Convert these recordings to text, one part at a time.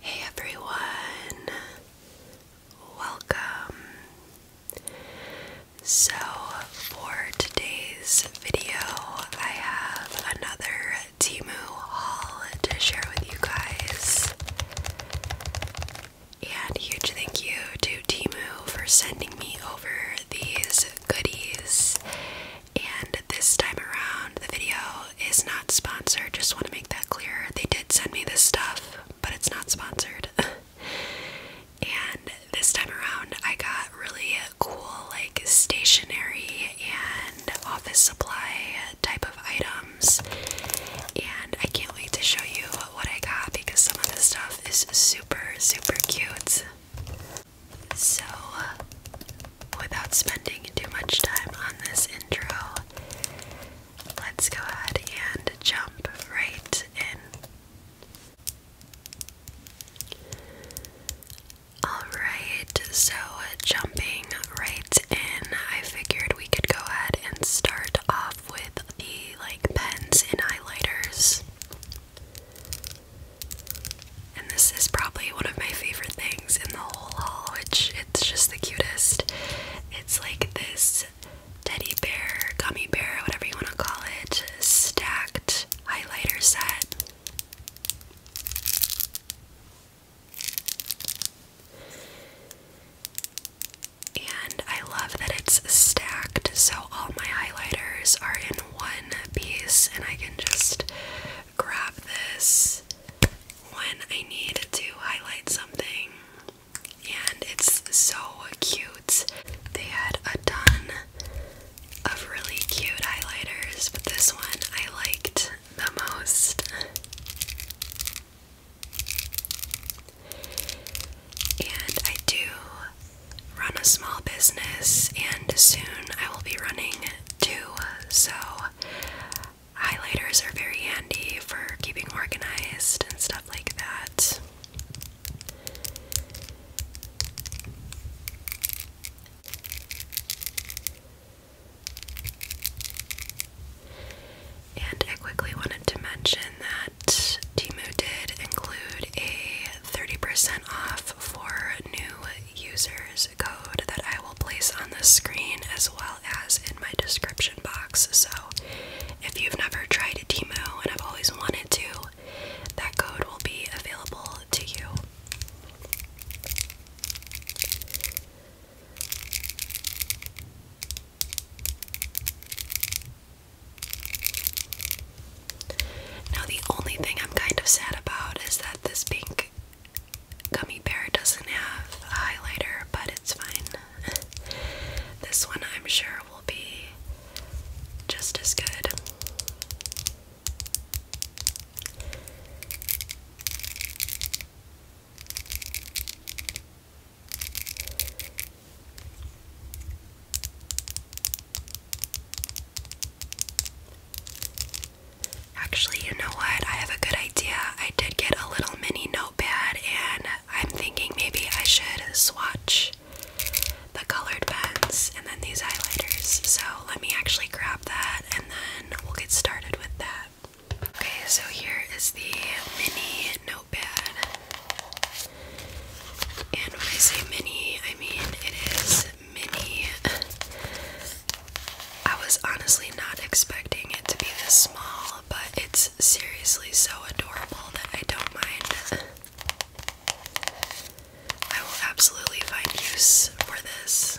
Hey everyone, welcome. So, for today's video, I have another Timu haul to share with you guys. And huge thank you to Timu for sending me over these goodies. And this time around, the video is not sponsored, just want to make that clear. They did send me this stuff, but it's not sponsored. and this time around, I got really cool, like stationery and office supply type of items. And I can't wait to show you what I got because some of this stuff is super, super cute. So, without spending too much time on this intro, Let's go ahead and jump right in. Alright, so jumping right in, I figured we could go ahead and start off with the like pens and highlighters. And this is probably one of my favorite things in the whole haul, which it's just the cutest. It's like this teddy bear, gummy bear, whatever you want to call it, stacked highlighter set. And I love that it's stacked, so all my highlighters are in one piece, and I can just grab this when I need to highlight something, and it's so cute. They had a ton of really cute highlighters, but this one I liked the most. And I do run a small business, and soon I will be running two, so Highlighters are very handy for keeping organized and stuff like that. And I quickly wanted to mention that Timu did include a 30% off for new users code that I will place on the screen as well as in my description box. So if you've never tried a Demo and I've always wanted to, that code will be available to you. Now, the only thing I'm kind of sad about is that this pink gummy bear doesn't have a highlighter, but it's fine. this one I'm sure will be just as good. Actually, you know what? I have a good idea. I did get a little mini notepad, and I'm thinking maybe I should swatch the colored pens and then these highlighters. So let me actually grab that, and then we'll get started with that. Okay, so here is the mini notepad. And when I say mini, I mean it is mini. I was honestly not expecting it to be this small, but it's seriously so adorable that I don't mind. I will absolutely find use for this.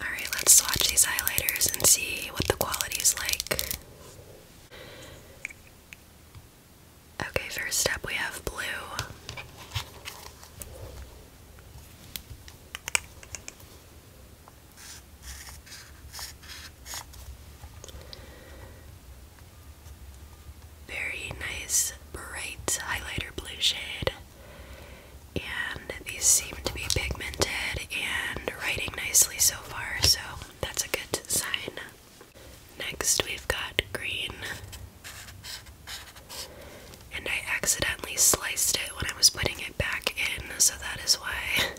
Alright, let's swatch these highlighters and see what the quality is like. Okay, first up we have blue. Very nice bright highlighter blue shade and these seem to be pigmented and writing nicely so far, so that's a good sign. Next, we've got green. And I accidentally sliced it when I was putting it back in, so that is why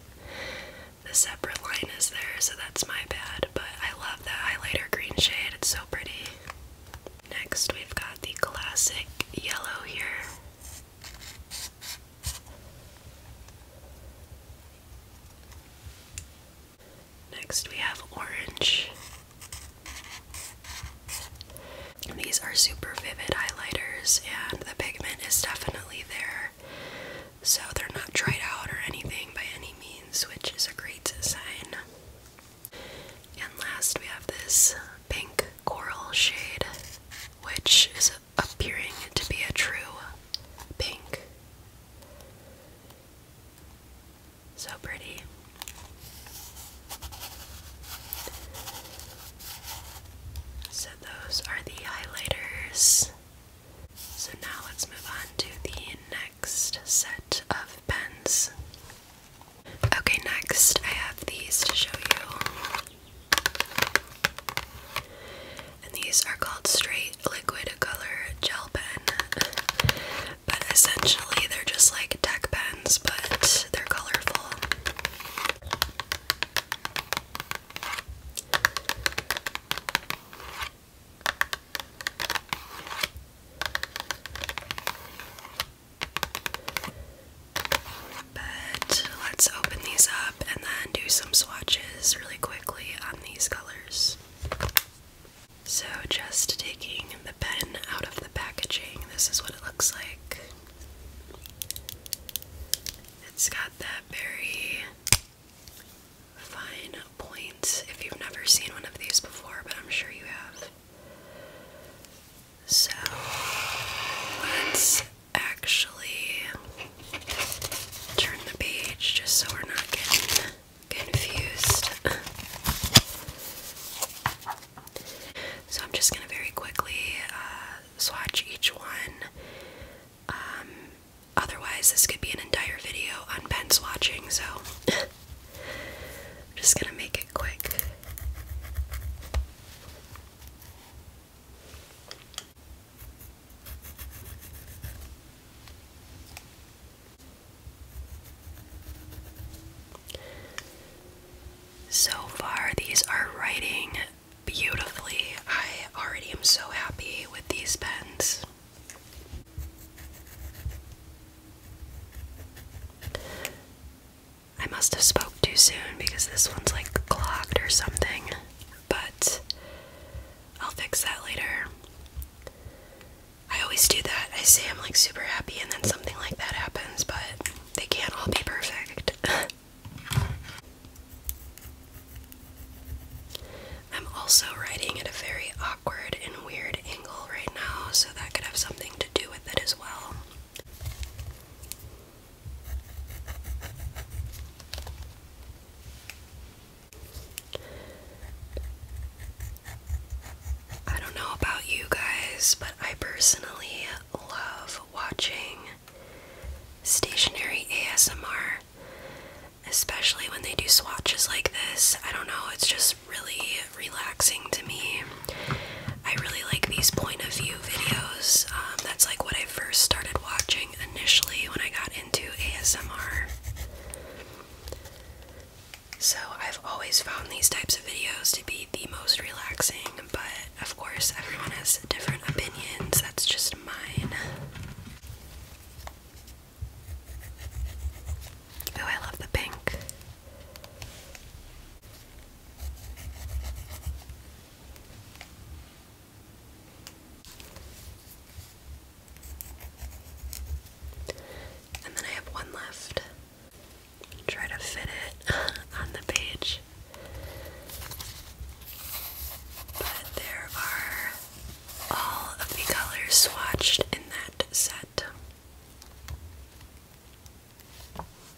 the separate line is there, so that's my bad. But I love that highlighter green shade, it's so pretty. Next, we've got the classic yellow here. Next, we have orange. These are super vivid highlighters, and the pigment is definitely there, so they're not dried out or anything by any means, which is a great sign. And last, we have this pink coral shade, which is appearing to be a true pink. So pretty. So, those are the highlighters. So, now let's move on to the next set of pens. Okay, next I have these to show you. And these are called straight liquid color gel pen. But essentially they're just like tech pens, but they're colorful. But let's open these up and then do some swatches really quickly on these colors. So, just taking the pen out of the packaging, this is what it looks like. It's got that very fine point if you've never seen one of these before, but I'm sure you have. So let's actually turn the page just so we're not getting confused. so I'm just going to very quickly uh, swatch each one. Um, otherwise, this could be an entire video on pen swatching, so I'm just going to make it quick. So far, these are writing beautifully. I already am so happy with these pens. I must have spoke too soon because this one's like clogged or something, but I'll fix that later. I always do that. I say I'm like super happy and then something like that happens, but they can't all be perfect. I'm also writing at a very awkward and weird angle right now, so that could have something to do with it as well. I don't know about you guys, but I personally love watching stationary ASMR, especially when they do swatches like this. I don't know, it's just really relaxing to me. I really like these point of view videos. Um, that's like what I first started watching initially when I got into ASMR. So I've always found these types of videos to be the most relaxing, but of course, everyone has different opinions. That's just mine. Oh, I love the pink. And then I have one left. Try to fit it on the page. But there are all of the colors swatched in that set.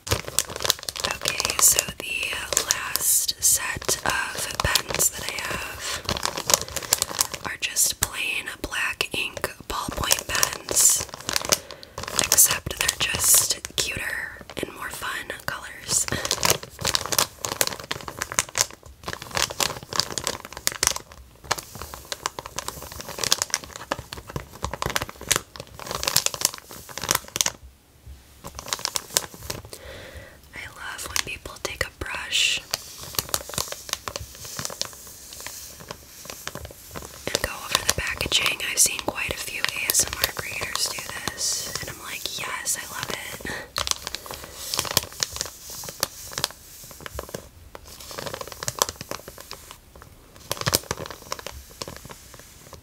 Okay, so the last set of pens that I have are just plain black ink ballpoint pens, except they're just cuter and more fun colors. I love when people take a brush and go over the packaging. I've seen quite a few ASMR creators do this, and I'm like, yes, I love it.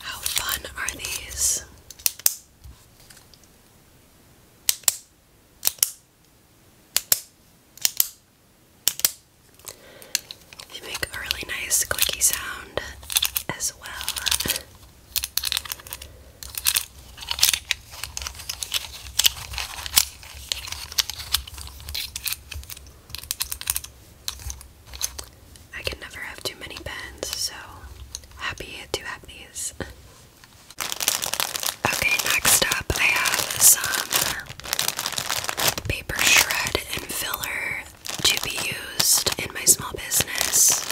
How fun are these? They make a really nice clicky sound as well. I can never have too many pens, so happy to have these. okay, next up I have some paper shred and filler to be used in my small business.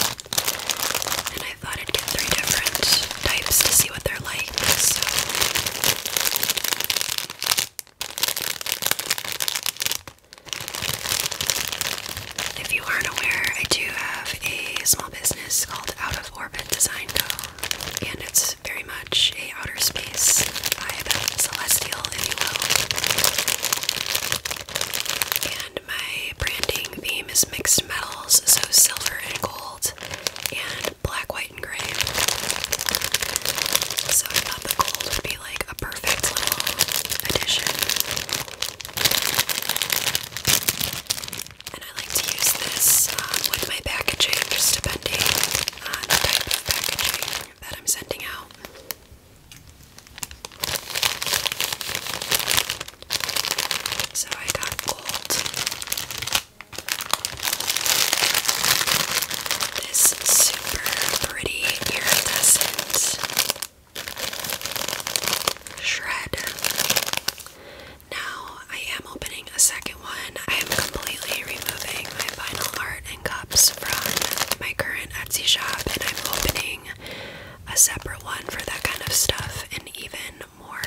I thought I'd get three different types to see what they're like. If you aren't aware, I do have a small business called Out of Orbit Design Co. And it's very much a outer space vibe, celestial, if you will. And my branding theme is mixed metals, so silver and gold and black, white, and gray. So I thought the gold would be like a perfect little addition. And I like to use this uh, with my packaging, just depending on the type of packaging that I'm sending out. So I got This super pretty iridescent shred. Now I am opening a second one. I am completely removing my vinyl art and cups from my current Etsy shop, and I'm opening a separate one for that kind of stuff, and even more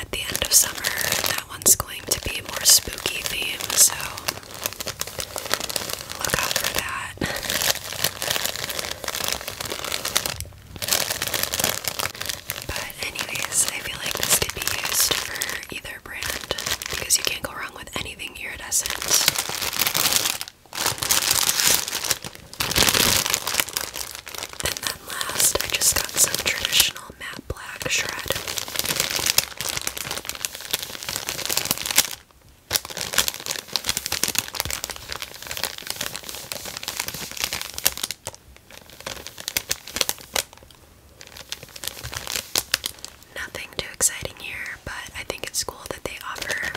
at the end of summer. That one's going to be a more spooky theme, so look out for that. But anyways, I feel like this could be used for either brand because you can't go wrong with anything iridescent. And then last, I just got some traditional matte black shred. Nothing too exciting here, but I think it's cool that they offer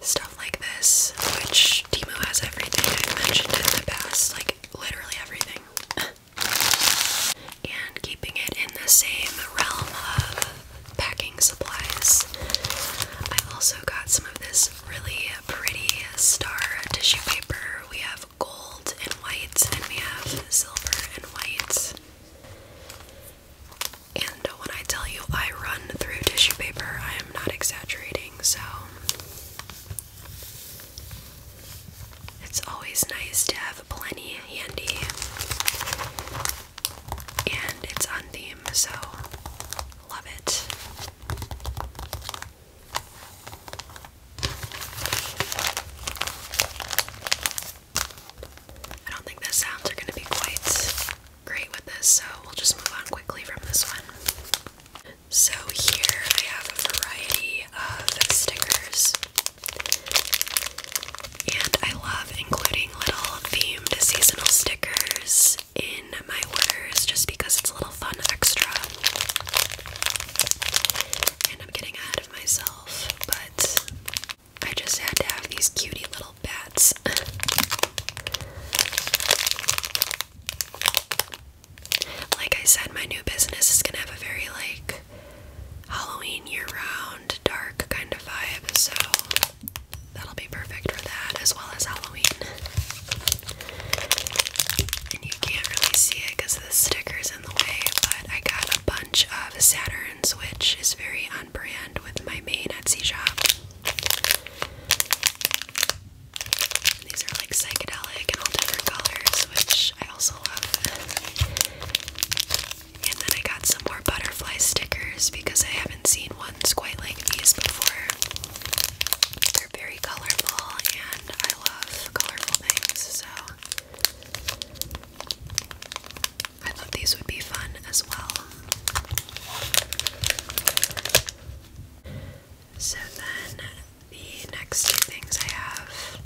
Star like this, which Timu has everything I've mentioned in the past, like literally everything. and keeping it in the same realm of packing supplies, I also got some of this really pretty star tissue paper. We have gold and whites, and we have silver and whites. And when I tell you I run through tissue paper, I am not exaggerating, so it's always nice to have plenty handy, and it's on so love it. I don't think the sounds are going to be quite great with this, so we'll just move on quickly from this one. So here I have a variety of stickers. And I love including little themed seasonal stickers in my orders just because it's a little fun extra. And I'm getting ahead of myself, but I just had to have these cutie little bats. Like I said, my new business is gonna have a very like Halloween year round, dark kind of vibe, so that'll be perfect for that as well as Halloween. And you can't really see it because the sticker's in the way, but I got a bunch of Saturns, which is very on with my main Etsy shop. These are like psychedelic and all different colors, which I also love. And then I got some more butterfly stickers because I haven't seen ones quite like these before. They're very colorful and I love colorful things, so I thought these would be fun as well. So then the next two things I have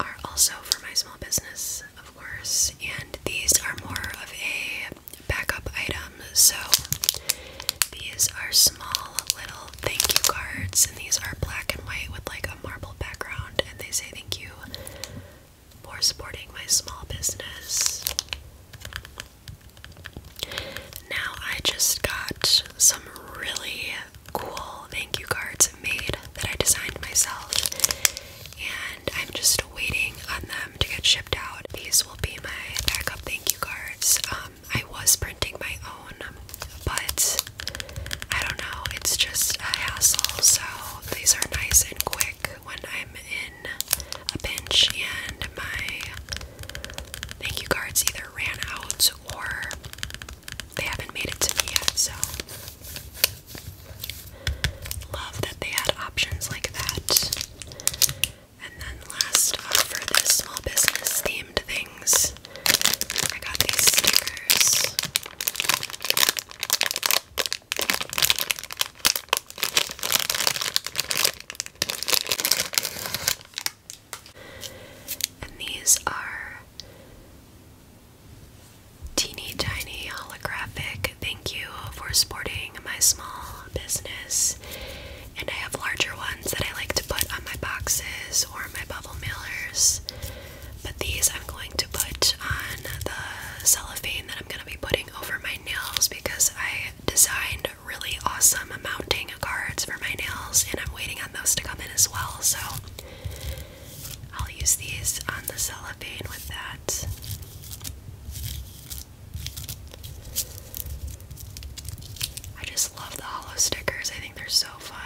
are also for my small business, of course, and these are more of a backup item. So these are small little thank you cards, and these are black and white with like a marble background, and they say thank you for supporting my small business. Now I just got some really cool thank you cards made that I designed myself, and I'm just waiting on them to get shipped out. These will be my backup thank you cards. Um, I was printing my own, but I don't know, it's just a hassle, so these are nice and quick when I'm in a pinch, and my thank you cards either ran out or they haven't made it to me yet. So, love that they had options like that. And then, last uh, for the small business themed things, I got these stickers. And these are teeny tiny holographic. Thank you for supporting my small business. And I have larger ones that I like to put on my boxes or my bubble mailers. But these I'm going to put on the cellophane that I'm going to be putting over my nails because I designed really awesome mounting cards for my nails, and I'm waiting on those to come in as well. So I'll use these on the cellophane with that. I just love the hollow stickers, I think they're so fun.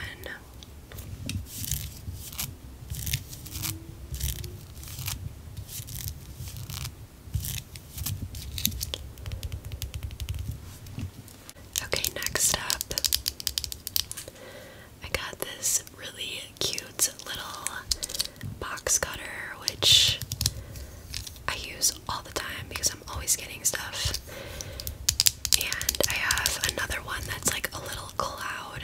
Okay, next up, I got this really cute little box cutter, which I use all the time because I'm always getting stuff. And I have another one that's like a little cloud,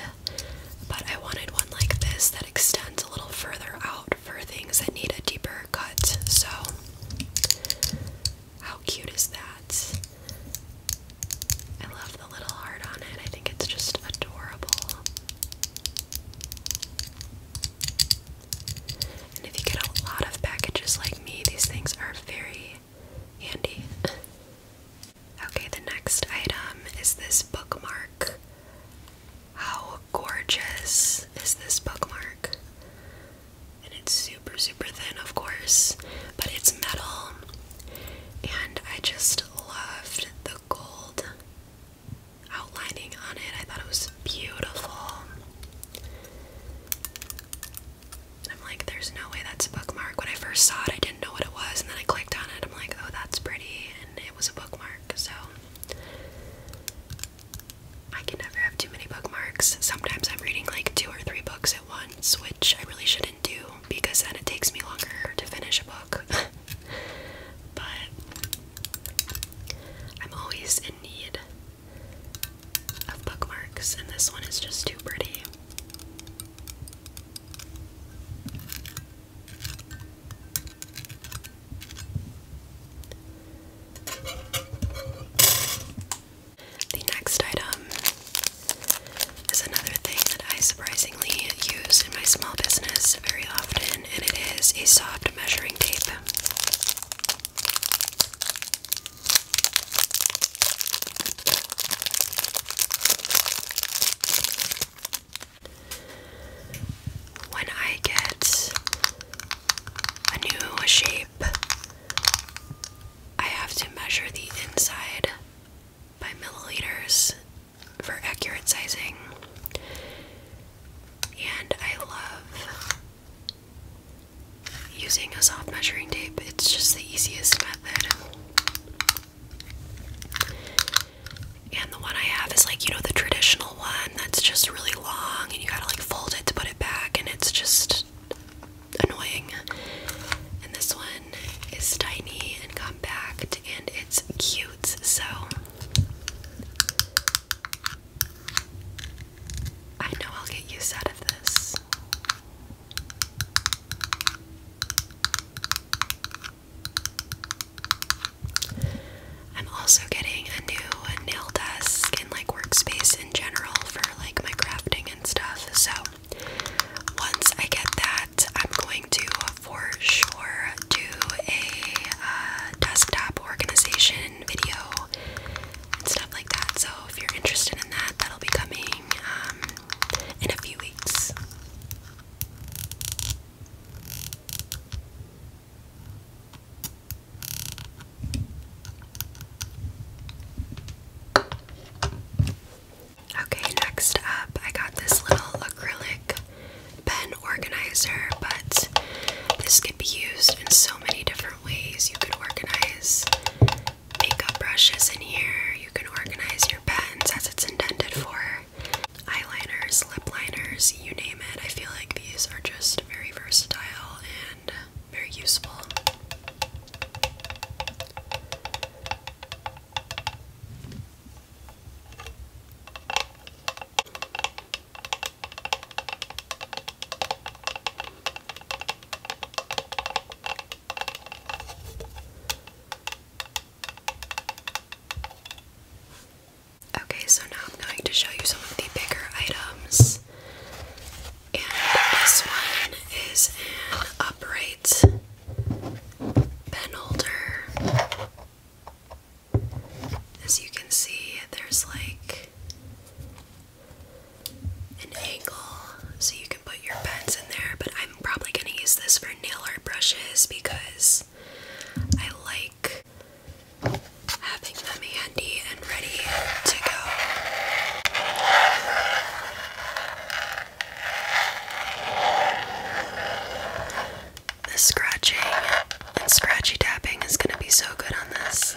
but I wanted one like this that extends a little further out for things that need a deeper cut. So, how cute is that? I love the little heart on it. I think it's just adorable. And if you get a lot of packages like me, these things are very handy. okay, the next item is this bookmark. How gorgeous is this bookmark? And it's super, super thin, of course, but it's metal. And I just loved the gold outlining on it. I thought it was beautiful. I'm like, there's no way that's a bookmark. When I first saw it, I didn't know what it was, and then I clicked on it. I'm like, oh, that's pretty, and it was a bookmark. So I can never have too many bookmarks. Sometimes I'm reading like two or three books at once, which I really shouldn't do because then it takes me longer to finish a book. but I'm always in need of bookmarks, and this one is just too pretty. The next item is another thing that I surprisingly use in my small business very often, and it is a soft measuring tape. When I get a new shape. I have to measure the inside by milliliters for accurate sizing. And I love using a soft measuring tape, it's just the easiest method. And the one I have is like, you know, the traditional one that's just really long and you gotta like fold it to put it back and it's just annoying. And this one is tiny and compact and it's cute, so I know I'll get used out of this. I'm also getting a new nail desk and like workspace in general for like my crafting and stuff. So once I get that, I'm going to for sure do a uh, desktop organization video and stuff like that. So if you're interested in that, that'll be coming um, in a few weeks. Okay, next up, I got this little acrylic pen organizer, but this could be used in so many different ways. You could organize makeup brushes in here, you can organize your pens as it's intended for eyeliners, lip liners, you name it. I feel like these are just very versatile and very useful. Okay, so now I'm going to show you some of the bigger items. And this one is an upright pen holder. As you can see, there's like an angle so you can put your pens in there, but I'm probably going to use this for nail art brushes because I like having them handy and ready to go. The scratching and scratchy tapping is going to be so good on this.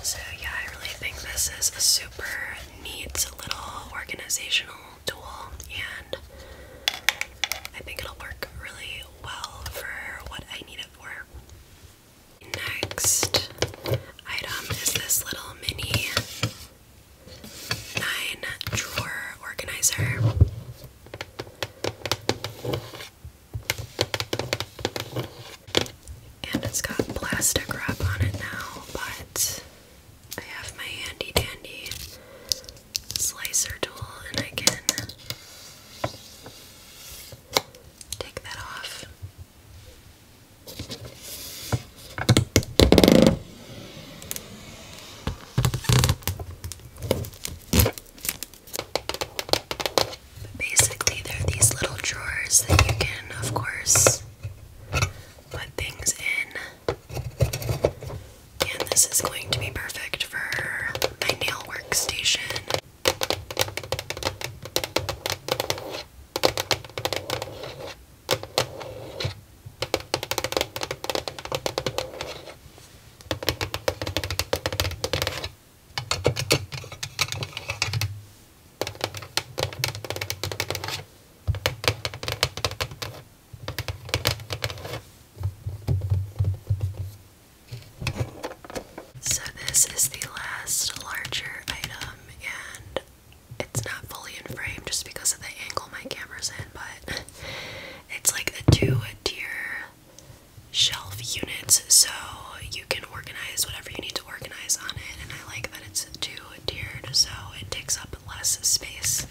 So, yeah, I really think this is a super needs a little organizational tool, and I think it'll work really well for what I need it for. Next item is this little mini nine drawer organizer and it's got plastic wrap on it now, but I have my handy dandy slicer tool and I can take that off. basically, there are these little drawers that you can, of course, put things in. And this is going to be perfect for my nail workstation. So, this is the last larger item, and it's not fully in frame just because of the angle my camera's in, but it's like a two tier shelf unit, so you can organize whatever you need to organize on it, and I like that it's two-tiered, so it takes up less space.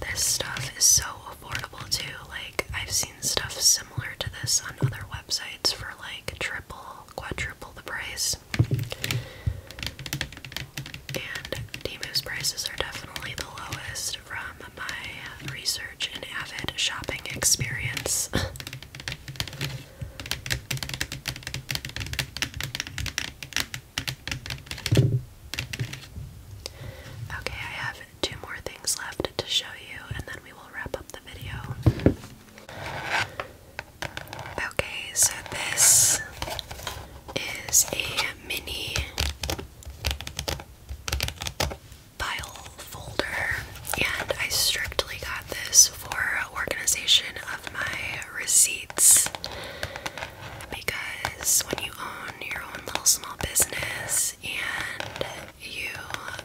This stuff is so affordable too. Like I've seen stuff similar to this on other websites for like triple, quadruple the price. And Demos prices are definitely the lowest from my research and avid shopping experience. Okay, I have two more things left to show you, and then we will wrap up the video. Okay, so this is a mini file folder, and I strictly got this for organization of my receipts because when you own your own little small business and you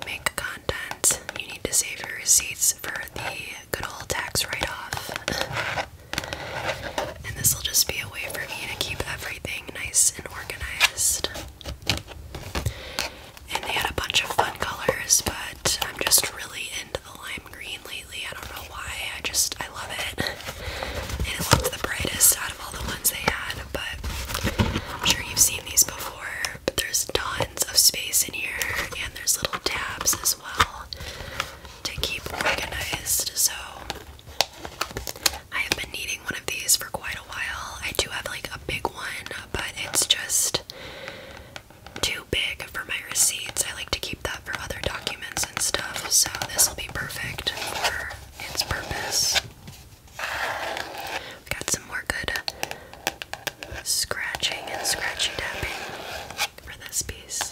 make content, you need to save your receipts for the good old tax write off. and this will just be a way for me to keep everything nice and organized. And they had a bunch of fun colors, but I'm just really into the lime green lately. I don't know why. I just I love it. And it looked the brightest out of all the ones they had but I'm sure you've seen these before. But there's tons of space in here, and there's little tabs as well to keep organized. So I have been needing one of these for quite a while. I do have like a big one, but it's just too big for my receipts. I like to keep that for other documents and stuff, so this will be perfect for its purpose. We got some more good scratching and scratchy tapping for this piece.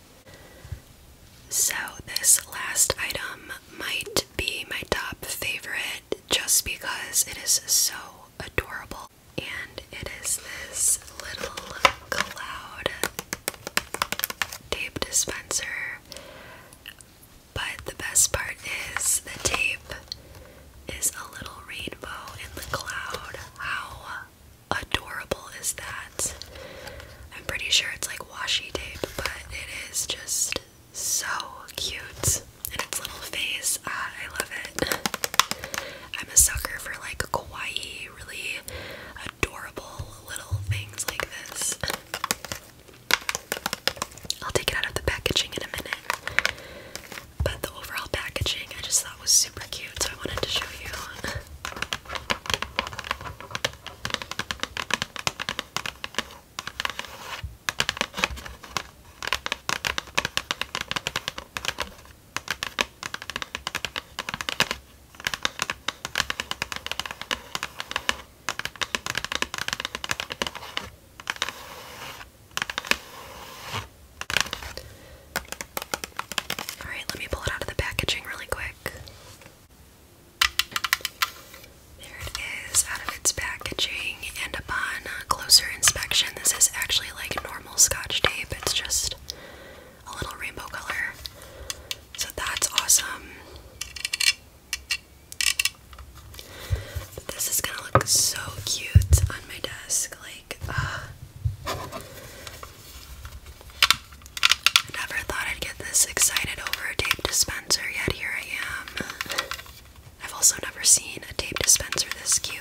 So, this last item might be my top favorite just because it is so adorable. And it is this little cloud tape dispenser. But the best part is the tape is a little rainbow in the cloud. How adorable is that? I'm pretty sure it's like washi tape, but it is just so cute. And its little face, ah, I love it. I'm a sucker for like kawaii, really adorable little things like this. I'll take it out of the packaging in a minute. But the overall packaging I just thought that was super cute, so I wanted to show you. Alright, let me pull it out of the packaging really quick. There it is out of its packaging, and upon closer inspection, this is actually like normal scotch tape, it's just a little rainbow color. So that's awesome. this is gonna look so cute on my desk, like, uh, Never thought I'd get this excited over a tape dispenser, yet here I am. I've also never seen a tape dispenser this cute.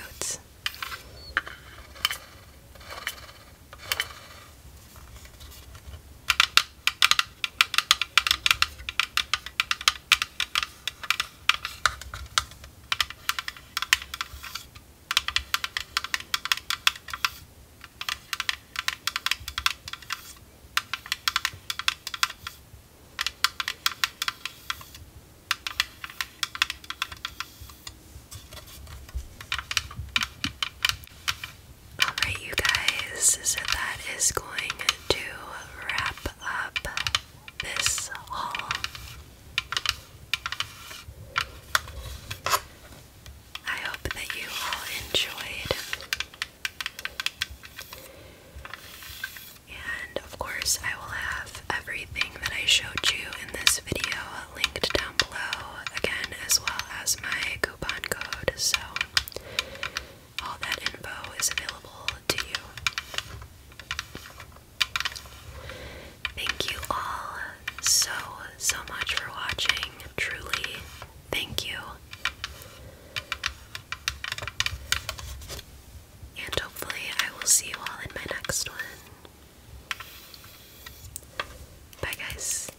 Alright, you guys, so that is going to wrap up this haul. I hope that you all enjoyed. And of course, I will have everything that I showed you in this video linked down below again, as well as my coupon code. So, all that info is available to you. Thank you all so, so much for watching. Truly, thank you. And hopefully, I will see you all in my next one. Bye, guys.